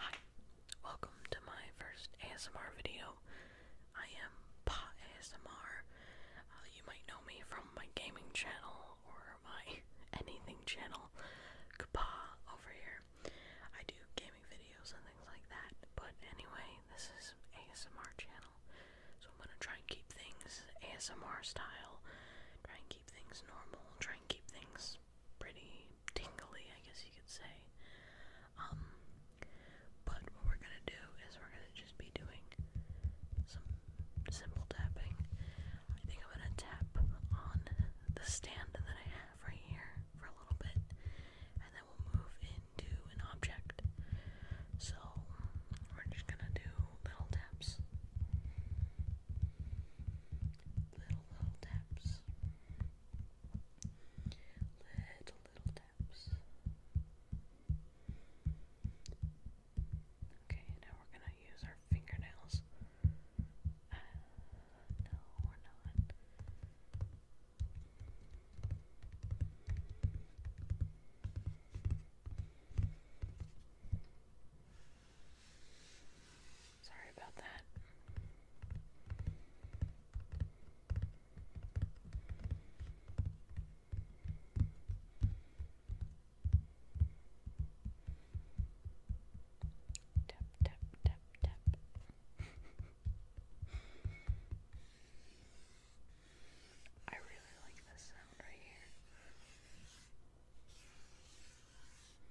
Hi, welcome to my first ASMR video. I am Pa ASMR. Uh, you might know me from my gaming channel or my anything channel, Pa over here. I do gaming videos and things like that. But anyway, this is ASMR channel, so I'm gonna try and keep things ASMR style. Try and keep things normal. Try and keep things pretty tingly, I guess you could say. Um, but what we're gonna do is we're gonna just be doing some simple tapping. I think I'm gonna tap on the stand that I have right here for a little bit, and then we'll move into an object. So we're just gonna do little taps. Little, little taps. Little, little taps. Okay, now we're gonna use our fingernails. Uh, no, we're not. Sorry about that. Tap, tap, tap, tap. I really like this sound right here.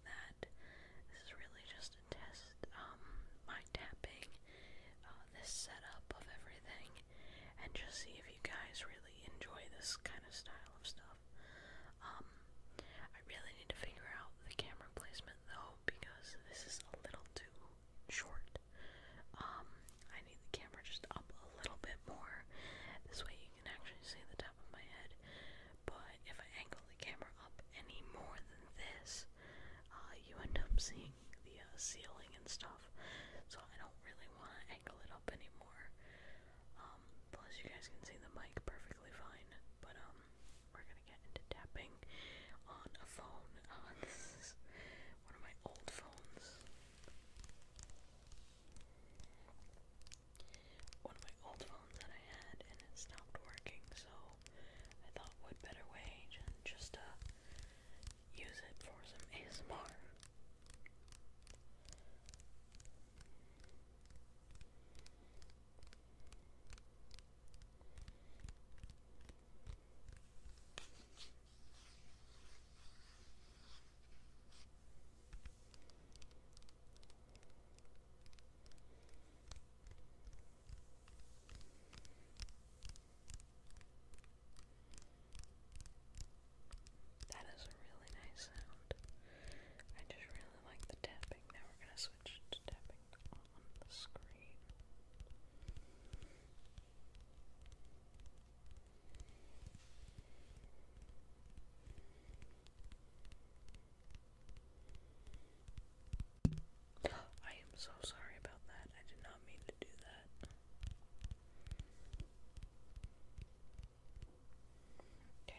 that. This is really just a test, um, tapping, uh, this setup of everything, and just see if you guys really enjoy this kind of style of stuff. Um, I really need to figure out the camera placement though, because this is a little too short. Um, I need the camera just up a little bit more. This way you can actually see the of my head, but if I angle the camera up any more than this, uh, you end up seeing the uh, ceiling and stuff. So I don't really want to angle it up anymore. Um, plus, you guys can see the mic perfectly fine, but um, we're gonna get into tapping on a phone. Uh, this is one of my old phones one of my old phones that I had and it stopped working, so I thought what better way than just to use it for some ASMR. That is a really nice sound. I just really like the tapping. Now we're going to switch to tapping on the screen. I am so sorry about that. I did not mean to do that. Okay.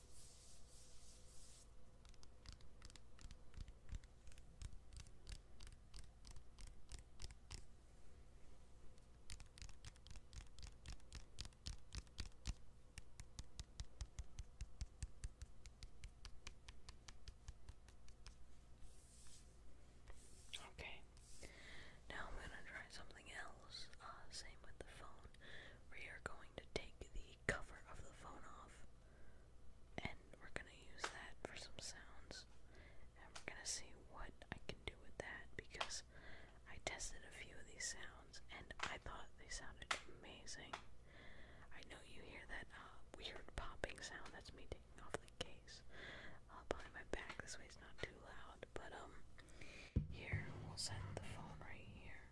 Okay. Now I'm going to try something else. Uh, same with the phone. We are going to take the cover of the phone off. And we're gonna use that for some sounds. And we're gonna see what I can do with that because I tested a few of these sounds and I thought they sounded amazing. I know you hear that uh, weird popping sound, that's me taking off the case. Uh, behind my back, this way it's not too loud, but um, here we'll set the phone right here.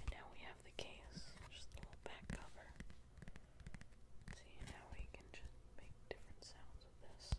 And now we have the case, just the little back cover. See, now we can just make different sounds with this.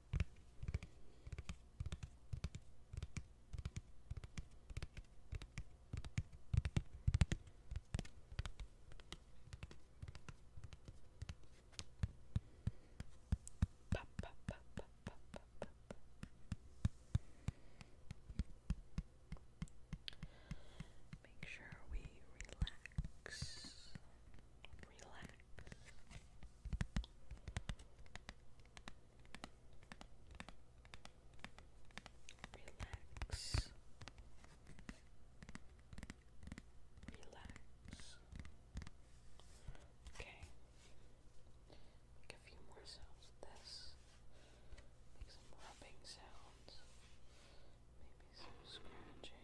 Make sure we Relax. Relax. Relax. Relax. Okay. Make a more sounds this. Make some rubbing sounds. Maybe some scratching.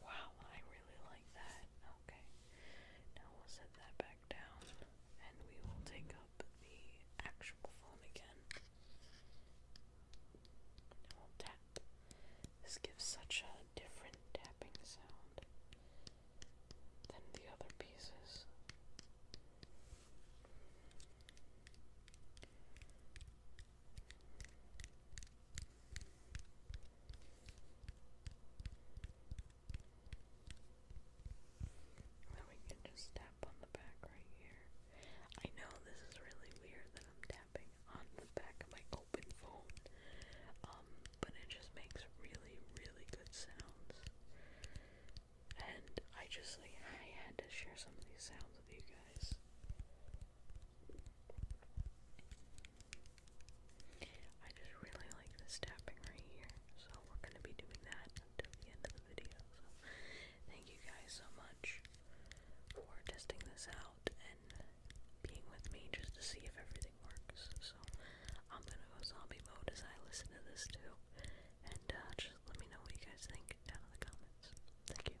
Wow, I really like that. Okay. Now we'll set that back down and we will take up the actual phone again. we'll tap. This gives such a different tapping sound than the other pieces we can just tap on the back right here. I know this is really weird that I'm tapping on the back of my open phone, um, but it just makes really, really good sounds. And I just like I had to share some of these sounds with you guys. I just really like this tapping right here, so we're gonna be doing that until the end of the video. So thank you guys so much for testing this out and being with me just to see if everything works. So I'm gonna go zombie mode as I listen to this too. And uh, just let me know what you guys think down in the comments. Thank you.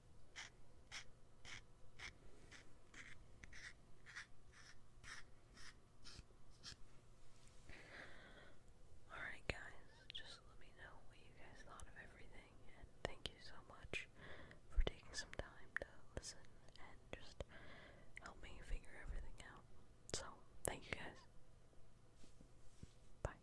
Alright, guys, just let me know what you guys thought of everything, and thank you so much for taking some time to listen and just help me figure everything out. So, thank you guys. Bye.